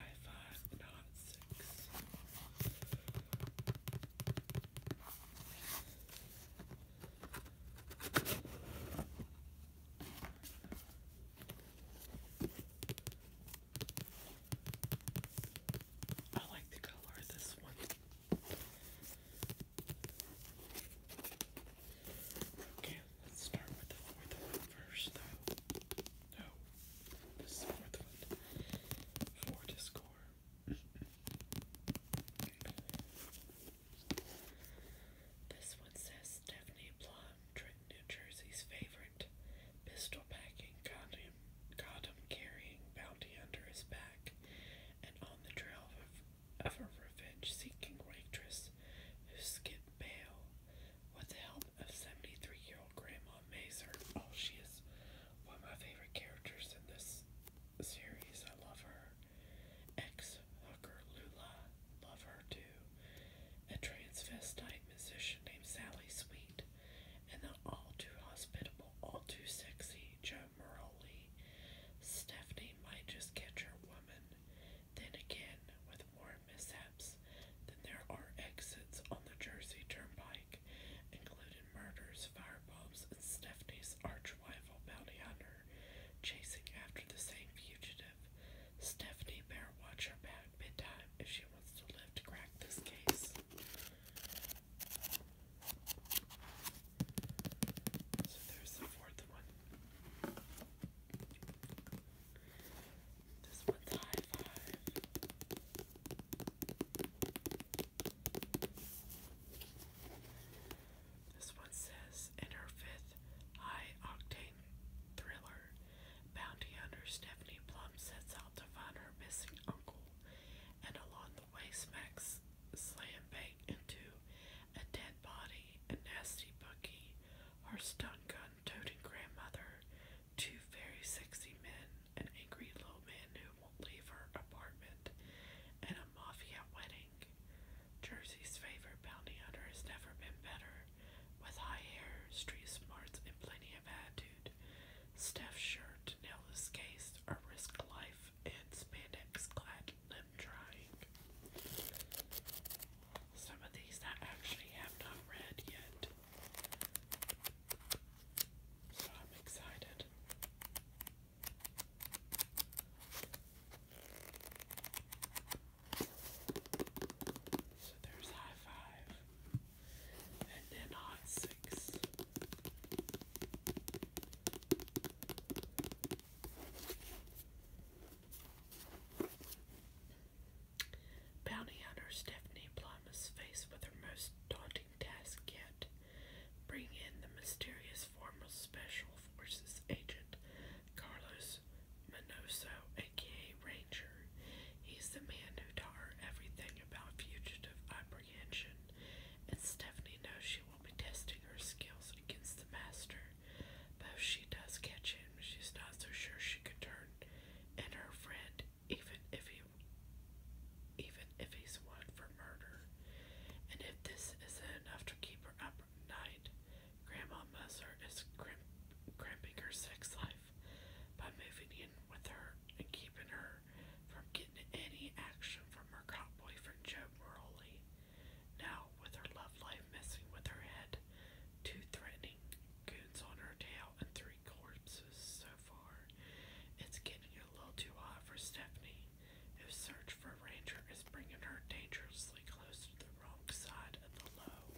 I like the color of this one. Okay, let's start with the fourth one first, though. No. This is fourth foot. Four to score. this one says Stephanie Plum, Trenton, New Jersey's favorite. Pistol packing, condom, condom carrying, bounty under his back, and on the trail of, of a revenge seeking waitress who skipped bail. What the hell a 73-year-old Grandma Mazer. Oh, she is one of my favorite characters in this series. I love her. Ex-hooker Lula. Love her, too. A transvestite musician named Sally Sweet. And the all-too-hospitable, all-too-sexy Joe Moroli. Stephanie might just catch her woman. Then again, with more mishaps, then there are exits on the Jersey Turnpike, including murders, fireballs, and Stephanie's archrival rival bounty hunter chasing after the same fugitive. Stephanie better watch her back midtime if she wants to live to crack this case. So there's the fourth one. This one says, in her fifth high octane thriller, bounty hunter Stephanie Plum sets out to find her missing uncle and along the way smacks slam bait into a dead body, a nasty bookie, her stun gun toting grandmother, Two very sexy men, an angry little man who won't leave her apartment, and a mafia wedding. Jersey's favorite bounty hunter has never been better, with high hair, street smarts, and plenty of attitude. Steph's shirt, to this case a risk life and spandex clad limb trying. Some of these I actually have not read yet. So I'm excited. So there's high five and then hot six. Bounty hunter Stephanie Plum is faced with her most daunting task yet. Bring in the mysterious former Special Forces agent, Carlos Manoso, aka Ranger. He's the man who taught her everything about fugitive apprehension, and Stephanie knows she will be testing her skills against the master. But if she does catch him, she's not so sure she could turn and her friend even if he even if he's one for murder. And if this isn't enough to keep her up at night, Grandma Musser is crimp crimping her sex life by moving in with her and keeping her from getting any action from her cop boyfriend Joe Morley. Now, with her love life messing with her head, two threatening goons on her tail, and three corpses so far. It's getting a little too hot for Stephanie, whose search for ranger is bringing her dangerously close to the wrong side of the low.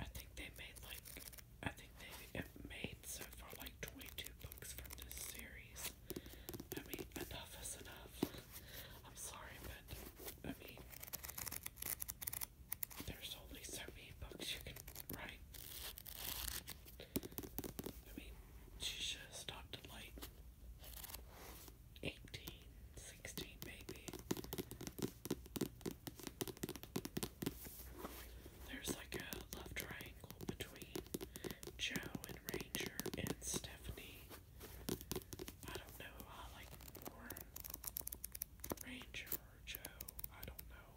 I think they made like I think they made so far like 22 books from this series. I mean, enough is enough. I'm sorry, but I mean, there's only so many books you can write. I mean, she should have stopped at like 18, maybe. There's like a left right between Joe and Ranger and Stephanie. I don't know I like more. Ranger or Joe, I don't know.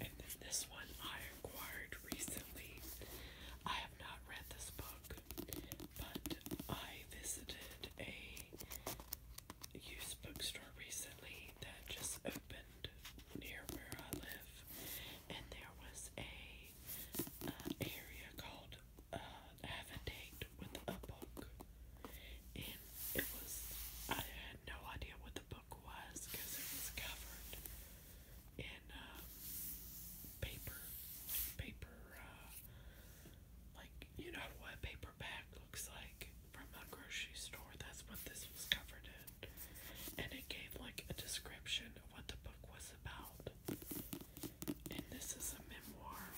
And then this one I acquired recently. I have not read this book, but I visited a used bookstore recently that just opened near where I live, and there was a uh, area called uh, Avondate with a book, and it was I had no idea what the book was because it was covered in um, paper, paper, uh, like you know what paperback looks like from a grocery store. That's what this was covered in and it gave like a description of what the book was about. And this is a memoir.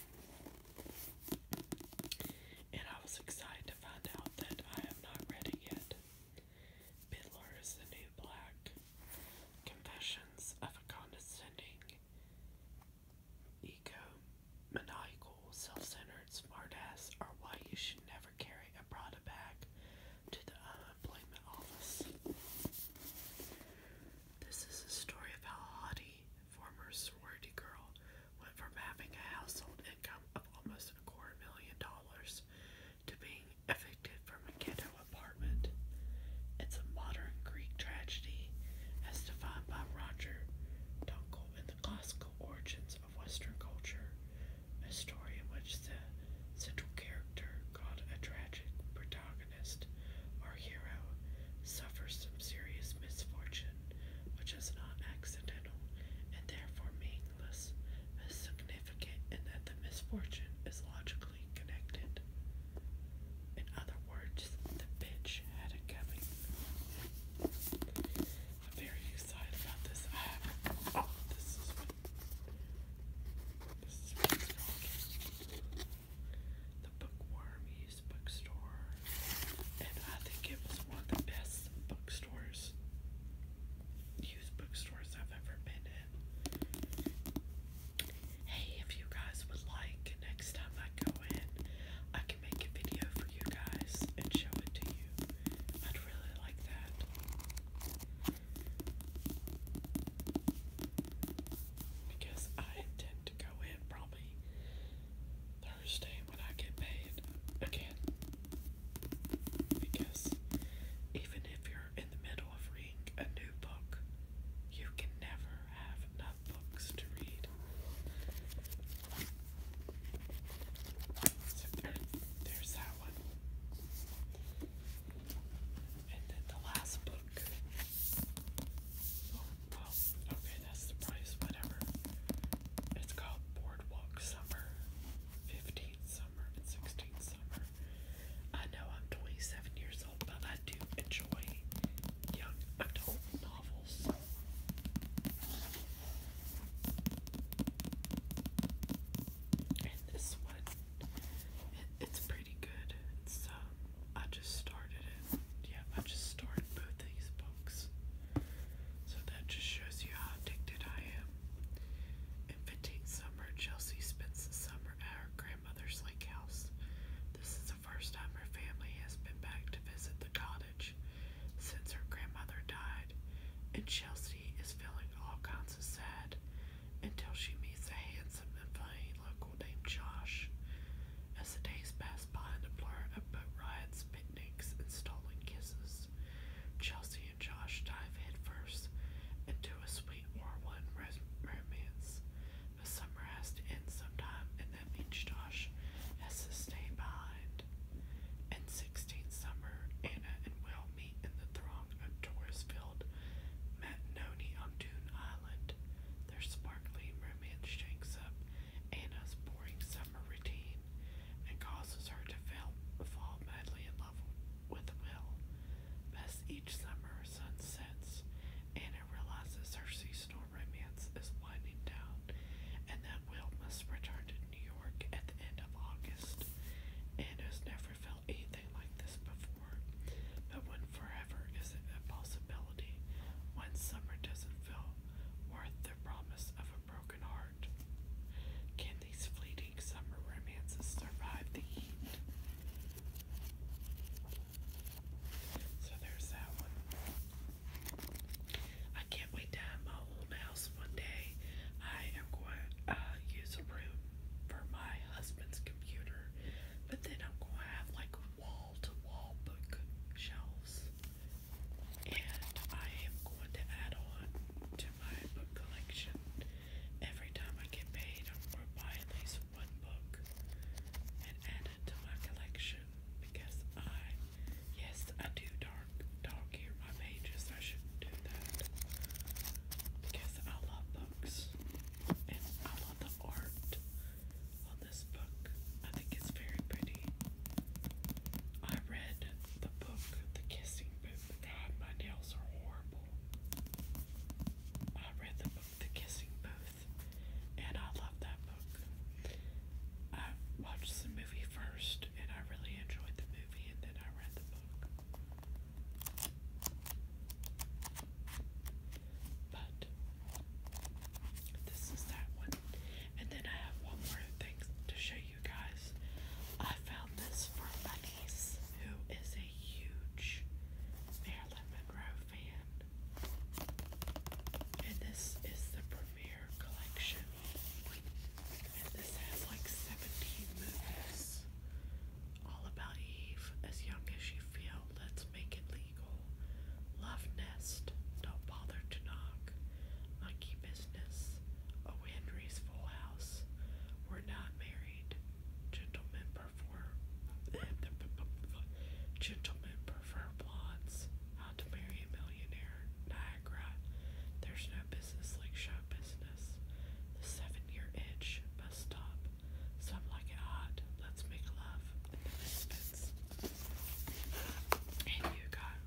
And I was excited to find out that I have not read it yet. Bidler is the New Black Confessions of a Condescending, Ego-Maniacal, Self-Centered Smartass Are Why You Should Never Carry a Prada Bag to the uh, office. This is a story of how Hottie, former sorority girl, went from having a household income of almost a quarter million dollars to being evicted from a ghetto apartment. It's a modern Greek tragedy as defined by Roger Dunkel in The Classical Origins Western culture, a story in which the central character, called a tragic protagonist or hero, suffers some serious misfortune which is not accidental and therefore meaningless, but significant in that the misfortune is logically connected. In other words, the bitch had it coming. I'm very excited about this. I have, this this is what's rocking. The bookstore. And I think it was one of the best bookstores, used bookstores I've ever been in. Hey, if you guys would like, next time I go in, I can make a video for you guys and show it to you. I'd really like that. Because I intend to go in probably Thursday when I get paid again. Because even if you're in the middle of reading a new book, you can never have enough books to read. So there, there's that one. And then the last book. Oh, well, okay, that's the price, whatever. It's called Boardwalk Summer. 15th summer and 16th summer. I know I'm 27 years old, but I do enjoy young adult novels. And this one, it's pretty good. So uh, I just started it. Yeah, I just started both these books. So that just shows you how addicted I am. In fifteen Summer, Chelsea spends the summer at her grandmother's lake house. This is the first time her family has been back to visit the cottage since her grandmother died, and Chelsea is feeling all kinds of sad until she meets a handsome and funny local named Josh. As the days pass by and a blur of boat rides, picnics, and stolen kisses, Chelsea and Josh dive headfirst into a sweet war one romance. The summer has to end sometime, and that means Josh has to stay behind. And sixteenth summer, Anna and Will meet in the throng of tourists-filled matinone on Dune Island. Their sparkling romance shakes up Anna's boring summer routine and causes her to fall madly in love with Will. As each summer sun sets, Anna realizes her seasonal romance is winding down and that Will must return to New York at the end of August, and has never felt anything like this before. But when forever is a possibility, when summer doesn't feel worth the promise of a broken heart. Can these fleeting summer romances survive the heat? So there's that one. I can't wait to have my old house one day. I am going to uh, use a room for my husband's computer, but then I'm going to have like wall to wall bookshelves. And I am going to add on to my book collection. Every time I get paid, I'm going to buy at least one book and add it to my collection because I Yes, I do dark dark here my pages. I shouldn't do that because I love books and I love the art on this book. I think it's very pretty. I read the book, The Kissing Book. my nails are horrible. I read the book The Kissing Booth and I love that book. I watched some movie first, and I really enjoyed the movie, and then I read the book. But this is that one. And then I have one more thing to show you guys. I found this from my who is a huge Marilyn Monroe fan. And this is the premiere collection this has like 17 movies all about Eve, as young as you feel, let's make it legal. Love Nest, don't bother to knock. Monkey Business, Oh Henry's Full House, We're Not Married, Gentlemen Prefer, Gentlemen Prefer Blondes, How to Marry a Millionaire, there's no business like show business. The seven year itch must stop. Some like it hot. Let's make love in the misfits. And you got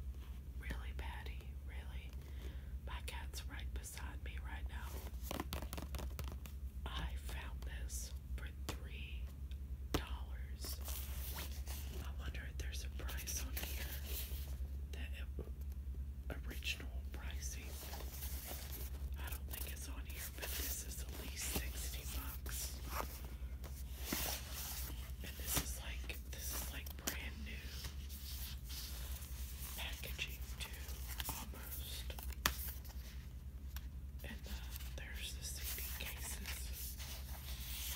really Patty, really. My cat's right beside me right now. I found this for 3 dollars I wonder if there's a price on here. That original pricing. I don't think it's on here, but this is at least 60 bucks. And this is like this is like brand new packaging too, almost. And uh, there's the CD cases.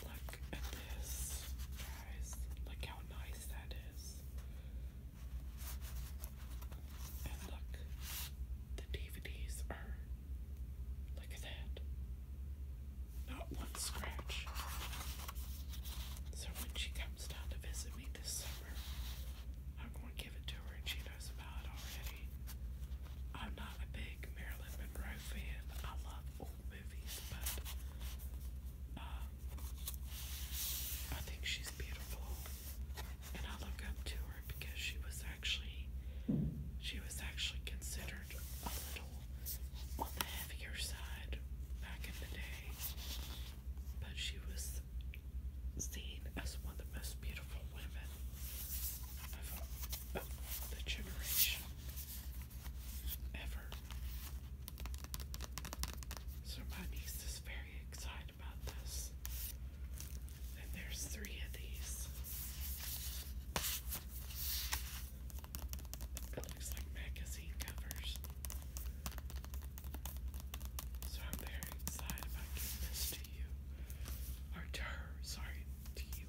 Look at this guys. Look how nice that is. And look, the DVDs are. Look at that. Not one scratch. So when she comes down to visit me this summer, I'm going to give it to her and she knows about already. I'm not a big Marilyn Monroe I love old movies, but uh, I think she's beautiful, and I look up to her because she was actually she was actually considered a little on the heavier side back in the day, but she was seen as one of the most beautiful women the generation ever. So my niece is very excited about this. And there's three of these. It looks like magazine covers. So I'm very excited about giving this to you. Or to sorry, you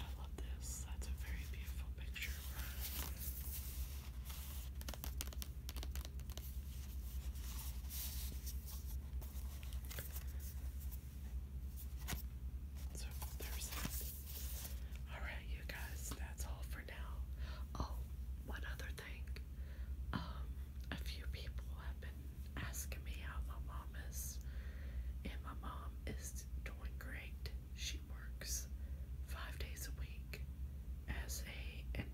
I love this. That's a very beautiful picture. So there's that. Alright, you guys, that's all for now. Oh, one other thing. Um, a few people have been asking me how my and my mom is doing great. She works five days a week as a in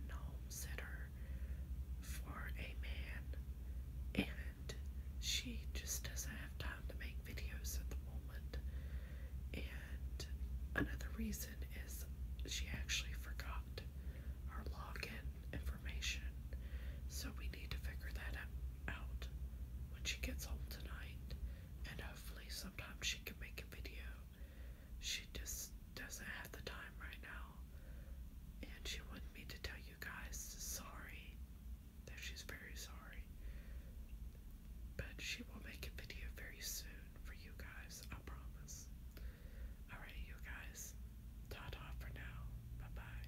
for a man, and she just doesn't have time to make videos at the moment. And another reason is she actually forgot her login information, so we need to figure that out out when she gets home tonight, and hopefully, sometime she can make a video. She just doesn't have the time right now, and she wanted me to tell you guys sorry that she's very sorry, but she will make a video very soon for you guys. I promise. Alright, you guys. Ta ta for now. Bye bye.